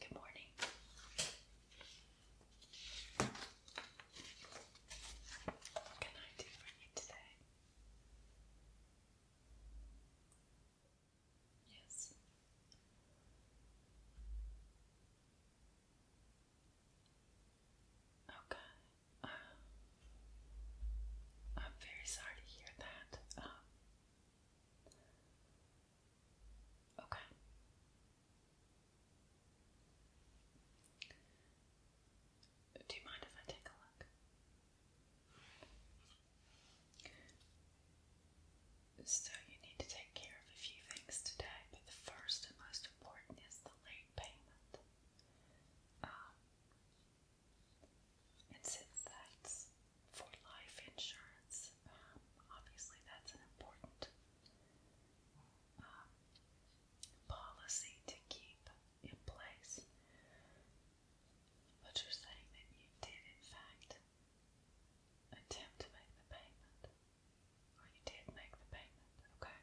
Good morning. What can I do for you today? Yes. Okay. I'm very sorry to hear that. Um, okay. Do you mind if I take a look? So, you need to take care of a few things today, but the first and most important is the late payment. Um, and since that's for life insurance, um, obviously that's an important um, policy to keep in place. But you're saying that you did, in fact, attempt to make the payment, or you did make the payment, okay?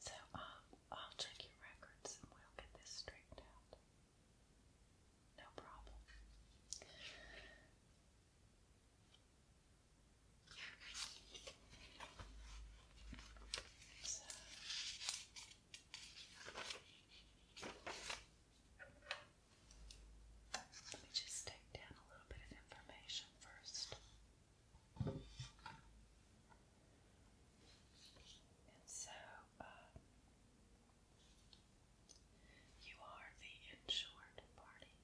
So um, I'll check your records and we'll get this straightened out. No problem. let me just take down a little bit of information first. And so uh, you are the insured party.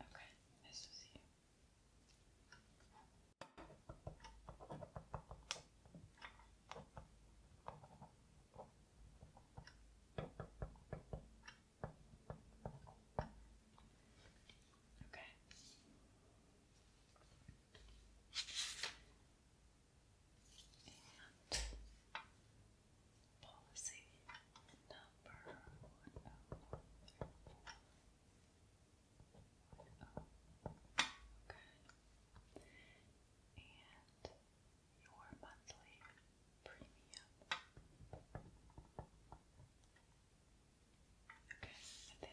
Okay, this is you. Okay. And policy number one oh three four. Okay. And your monthly premium Okay, so so it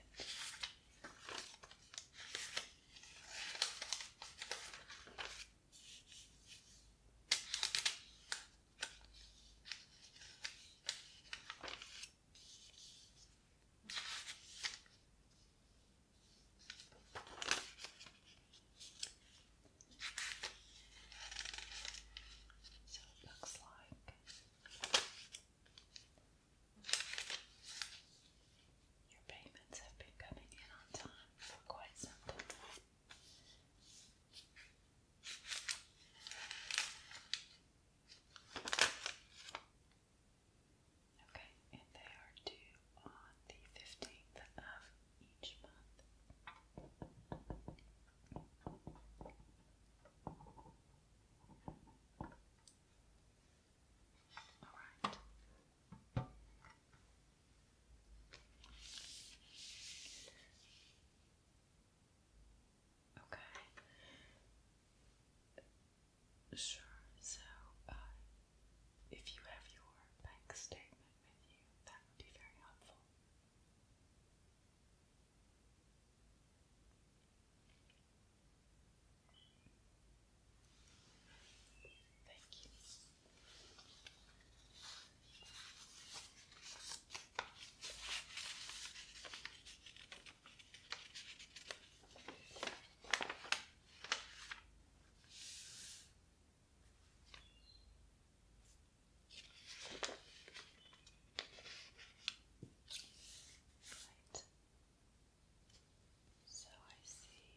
looks like your payments have been coming in on time for quite some time. Okay, and they are due on the 15th of each month. All right. Okay. Sure. So, uh, if you have your bank statement with you, that would be very helpful. Thank you. Right. So I see.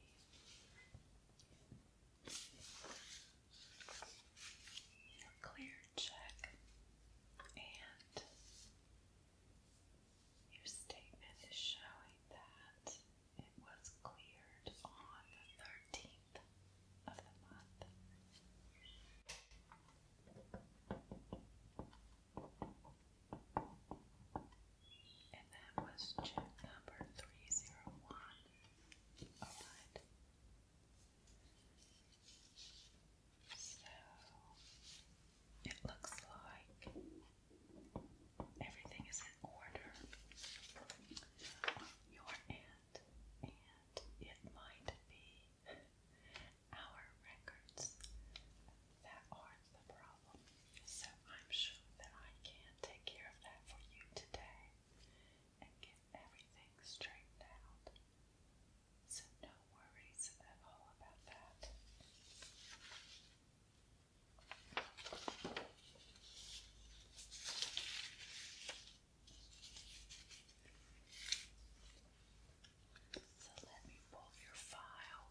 Your clear check and your statement is showing that it was cleared on the 13th of the month. And that was check number 301. Alright. So, it looks like everything is in order. Your aunt, and it might be our records. That are the problem. So I'm sure that I can take care of that for you today and get everything straightened out. So no worries at all about that. So let me pull your file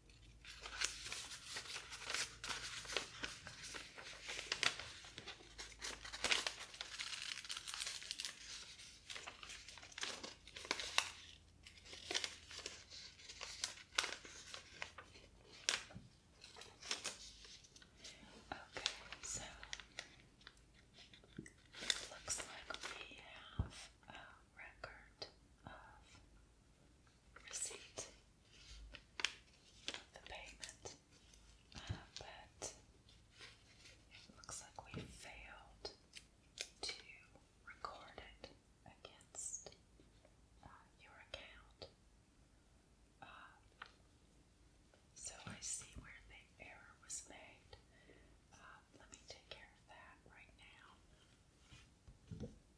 Okay, so it looks like we have a record of receipt the payment, but it looks like we failed to record it against uh, your account. Um, so I see where the error was made. Uh, let me take care of that right now.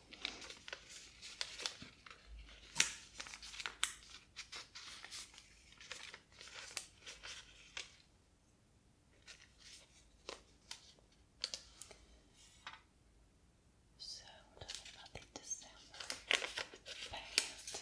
So we're December past. here it is.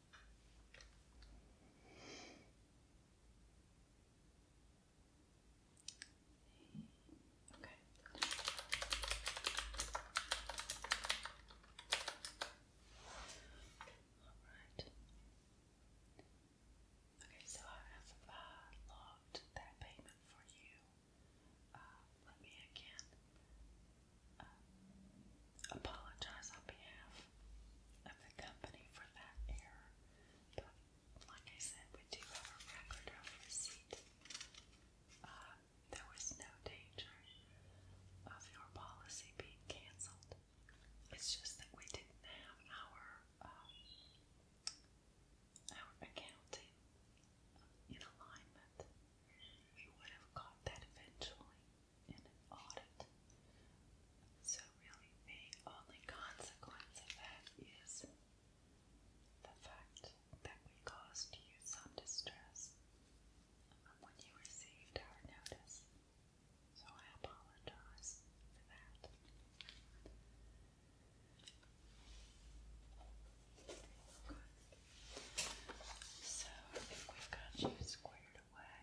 Okay. All right. Okay, so I have uh, logged that payment for you. Uh, let me again um, apologize on behalf of the company for that error. But like I said, we do have a record of receipt. Uh, there was no danger of your policy being canceled. It's just that we didn't have our um, our accounting in alignment. We would have caught that eventually in audit. So, really, the only consequence of that is the fact that we caused you some distress when you received our notice. So, I apologize for that. So, I think we've got you squared away.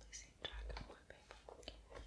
Losing track of my paper.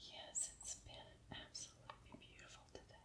Yes, it's been absolutely beautiful today.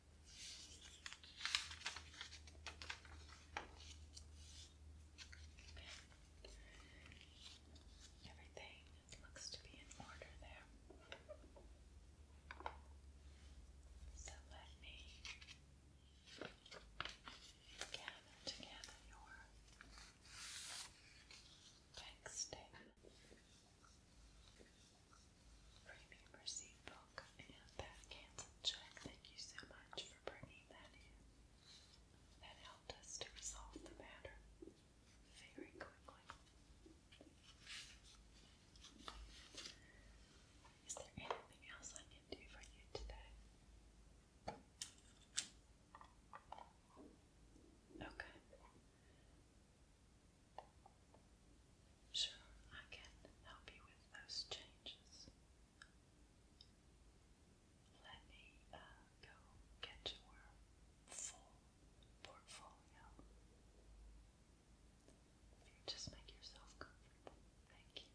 Okay. Everything looks to be in order there. So let me gather together your bank Premium receipt book and that cancel check. Thank you so much for bringing that in. That helped us to resolve the matter very quickly. Is there anything else I can do for you today? Okay. Sure, I can help you with those changes. Let me uh, go get your full portfolio. If you just make yourself comfortable. Thank you.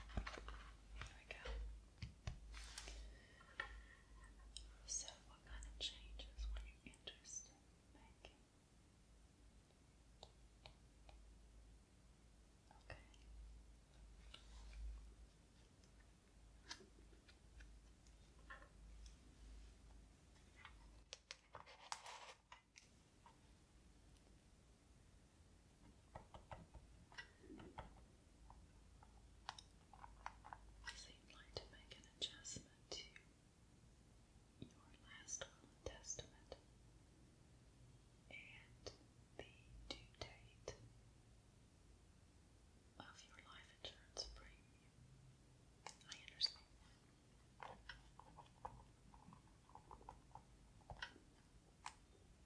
There we go. So, what kind of changes were you interested in making? Okay. Because you like to make an adjustment to your last will and testament and the due date of your life insurance premium. I understand.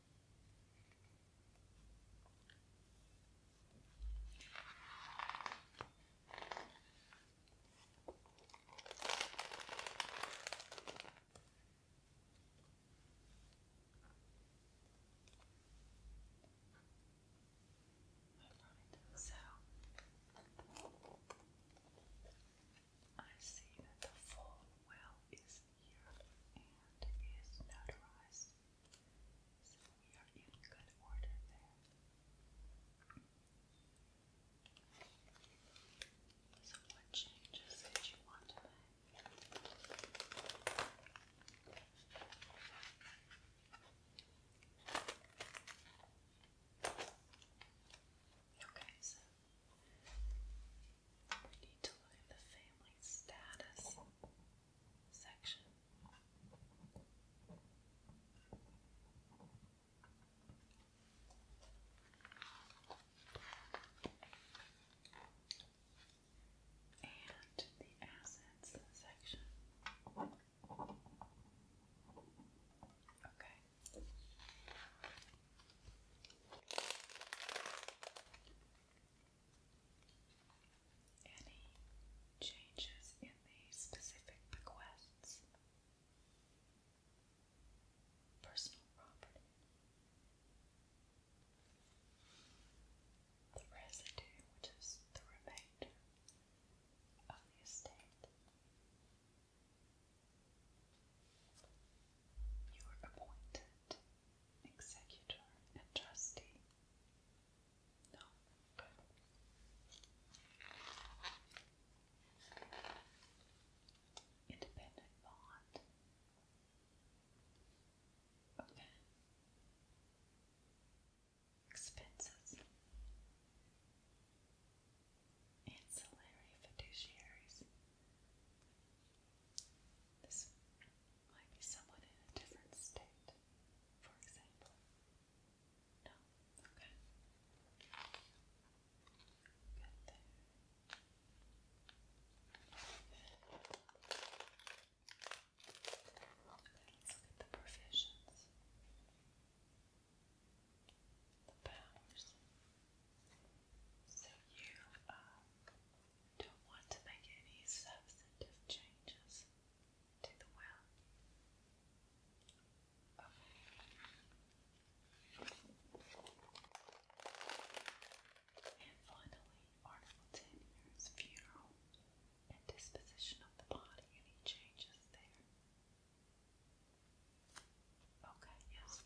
Right, so I see that the full well is here and is notarized. So we are in good order there. So what changes did you want to make? Okay, so we need to look at the family status section. And the assets section. Okay any changes in the specific bequests, personal property, the residue, which is the remainder of the estate. You were appointed and executor and trustee. No, good. Independent bond. Okay. Expenses. Ancillary fiduciaries. This might be someone in a different state, for example. No? Okay. Good there. let's look at the provisions. The powers. So you, um, don't want to make any substantive changes to the well. And finally, Article 10 funeral and disposition of the body. Any changes there? Okay, yes.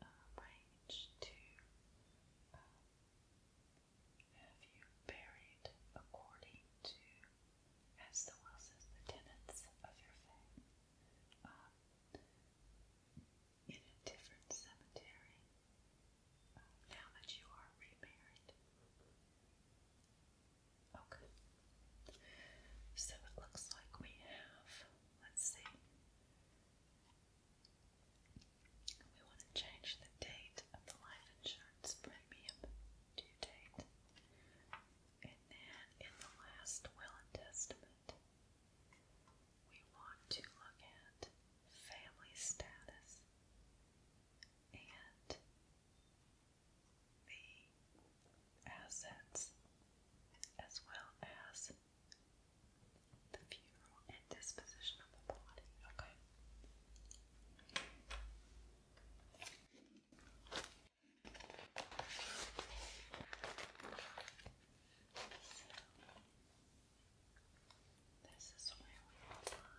arrange uh, to um, have you buried according to, as the will the tenets of your faith, um, in a different cemetery uh, now that you are remarried. Okay. So it looks like we have, let's see, we want to change the date of the life insurance premium due date. And then in the last will and testament, we want to look at family status and the assets as well as the funeral and disposition of the body. Okay. this is where we will find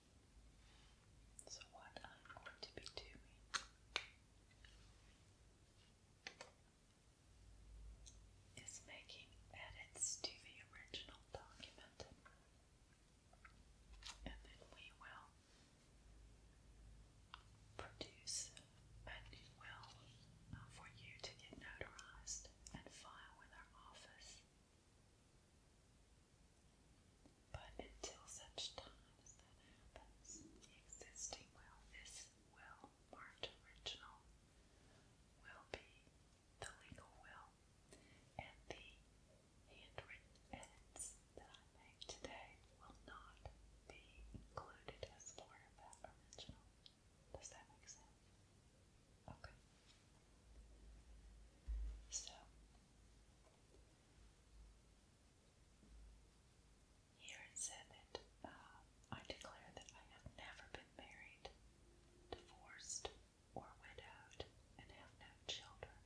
So, what I'm going to be doing is making edits to the original document, and then we will produce a new will uh, for you to get notarized and file with our office. But until such time that the existing will, this will marked original, will be the legal will and the handwritten edits that I make today will not be included as part of that original. Does that make sense? Okay. So here it said that uh, I declare that I have never been married, divorced, or widowed, and have no children.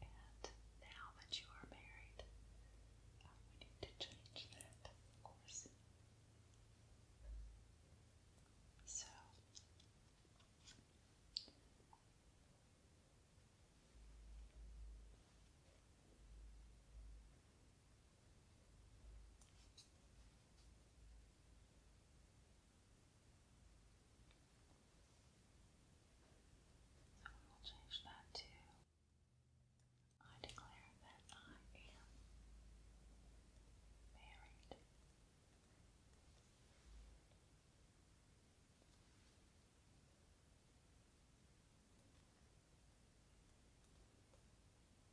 And now that you are married, uh, we need to change that, of course. So, so we will change that to I declare that I am married.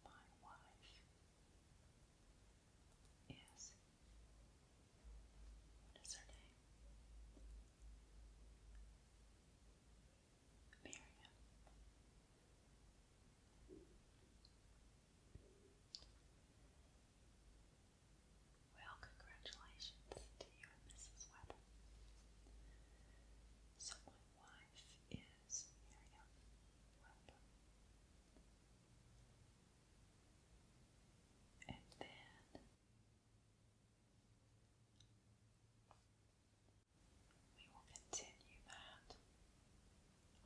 My wife is. What is her name? Miriam. Well, congratulations to you and Mrs. Webber. So my wife is Miriam Weber. And then we will continue that.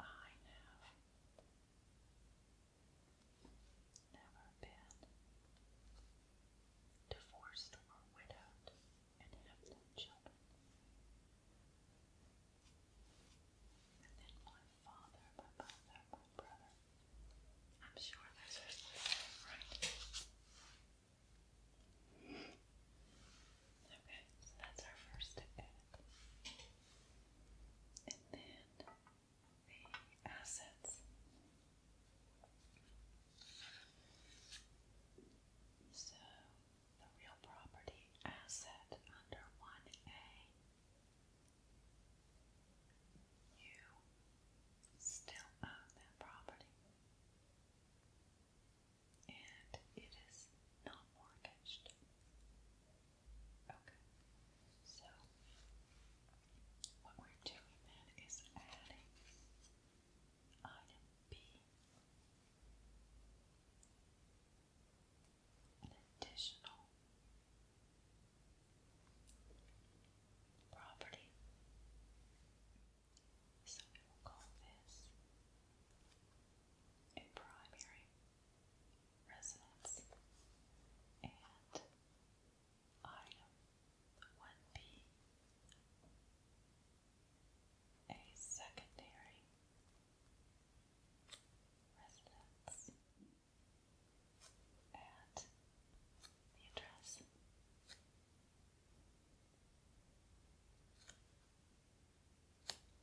I have never been divorced or widowed and have no children. And then my father, my mother, my brother. I'm sure those right? Okay, so that's our first event. And then the assets. So the real property asset under 1A, you still own that property, and it is not mortgaged. Okay. So, what we're doing then is adding item B an additional property. So we will call this a primary residence and Item 1B A secondary residence at the address.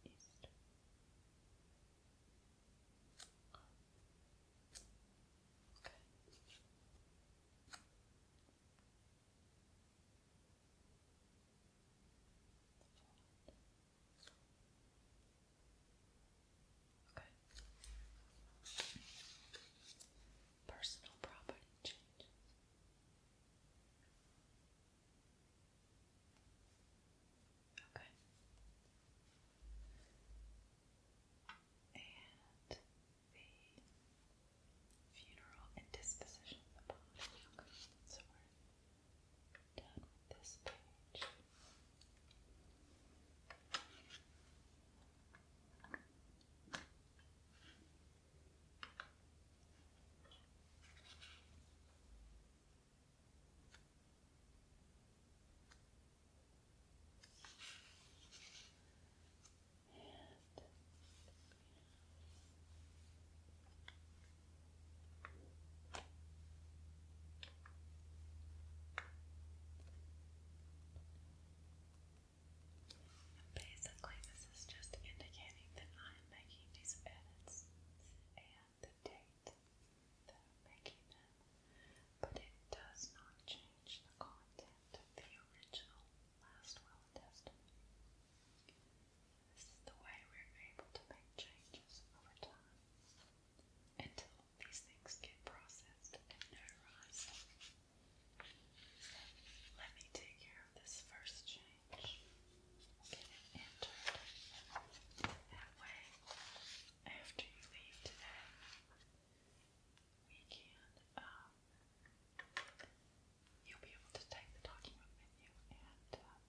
East. Okay. Okay. Personal property change. Okay. And the funeral and disposition of the body. so we're done with this page. And basically, this is just indicating that I am making these edits and the date that I'm making them but it does not change the content of the original last will and This is the way we're able to make changes over time until these things get processed and notarized. let me take care of this first change. Get entered. That way, after you leave today, we um, you'll be able to type the document with you and um,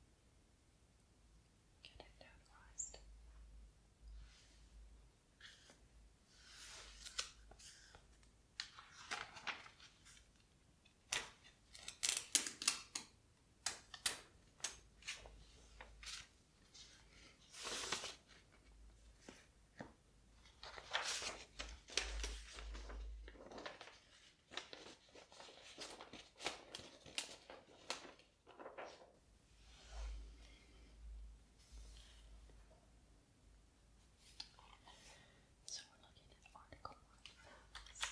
get it notarized. Okay. So we're looking at Article 1. Says,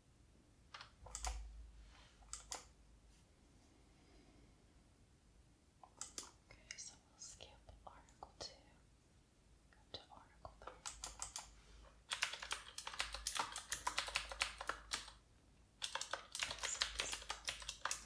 Okay, so we'll skip Article 2, to Article 3. This is going to be to real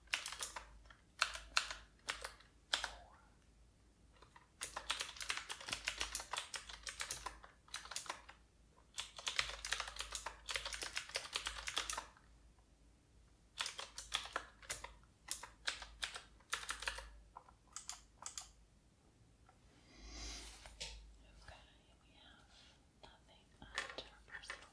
Okay, we have nothing at personal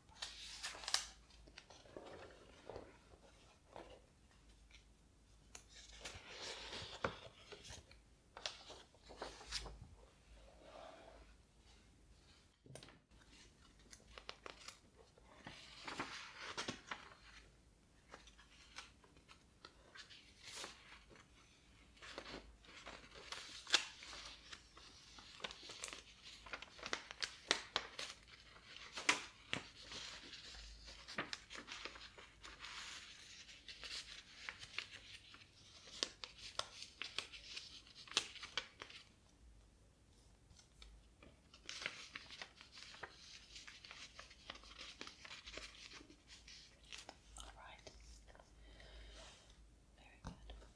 all right. Very good.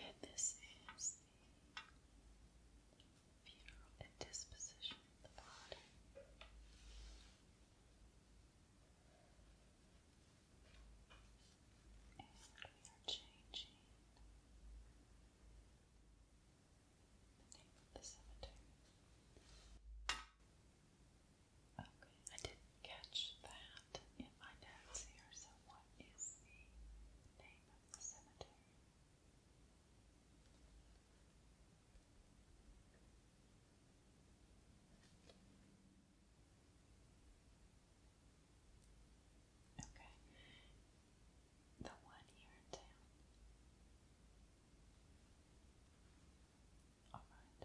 And this is the funeral and disposition of the body. And we are changing the name of the cemetery. Okay, I didn't catch that in my notes here, so what is the name of the cemetery? Okay. The one here in All right.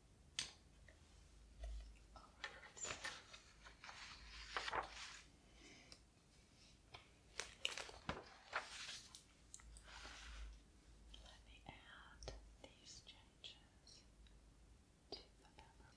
Let me add these changes to the pepper.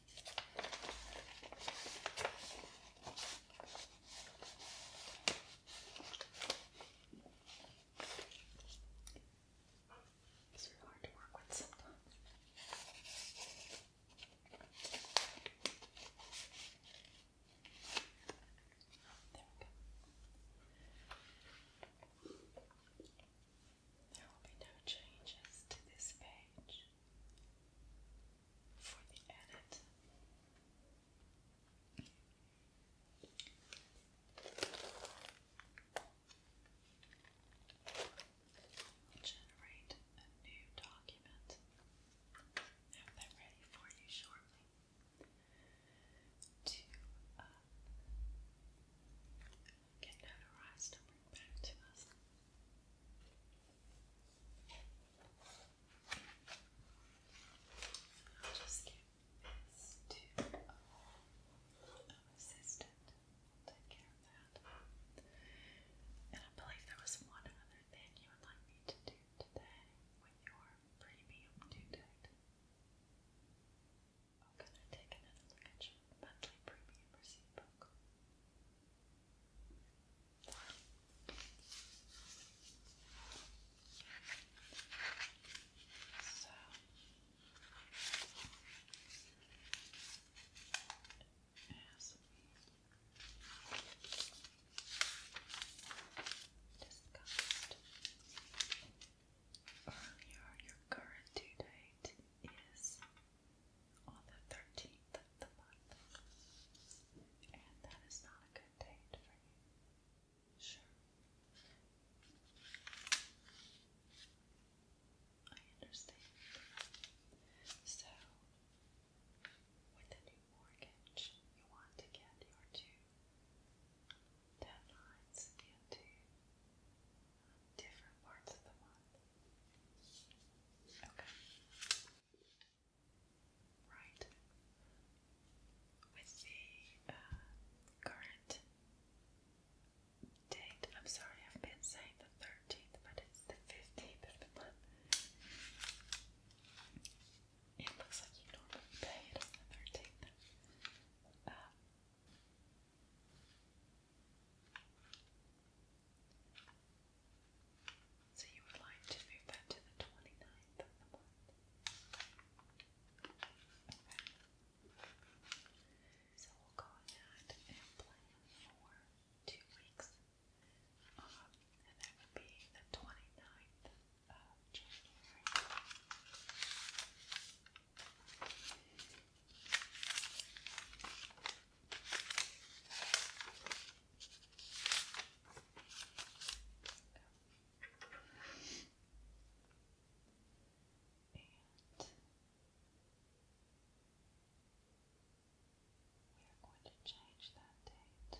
These are hard to work with sometimes. There we go. There will be no changes to this page for Generate a new document. Have that ready for you shortly. To uh, get notarized and bring back to us i just give assistant. take care of that. And I believe there was one other thing you would like me to do today with your premium due date. I'm going to take another look at your monthly premium receipt book. So as we your current due date is on the 13th of the month. And that is not a good date for you. Sure. I understand. So, with the new mortgage, you want to get your two deadlines into different parts of the month. Okay. Right. With the uh, current date, I'm sorry, I've been saying the 13th, but it's the 15th of the month. It looks like you normally pay it on the 13th. So you would like to move that to the 29th of the month. So we'll go ahead and plan for two weeks. Um, and that would be the 29th of January we are going to change that date to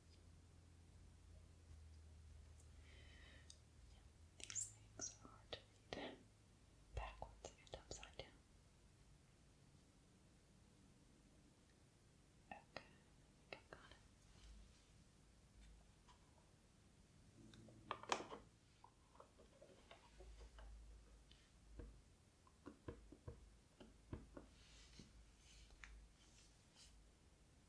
Yeah, these things are hard to read backwards and upside down. Okay, got it.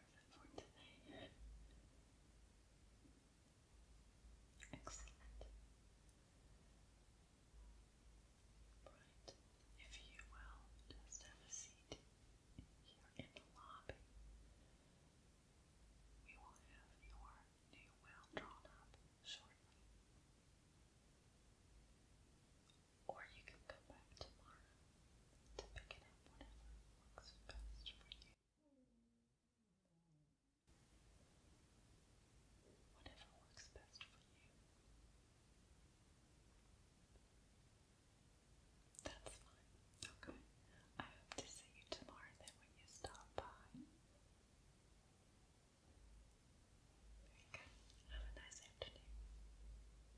service Excellent. Right, if you will, just have a seat here in the lobby. We will have your new will drawn up shortly. Or you can come back tomorrow to pick it up whenever works best for you. Whatever works best for you. That's fine. Okay. I hope to see you tomorrow then when you stop by. Very Have a nice afternoon.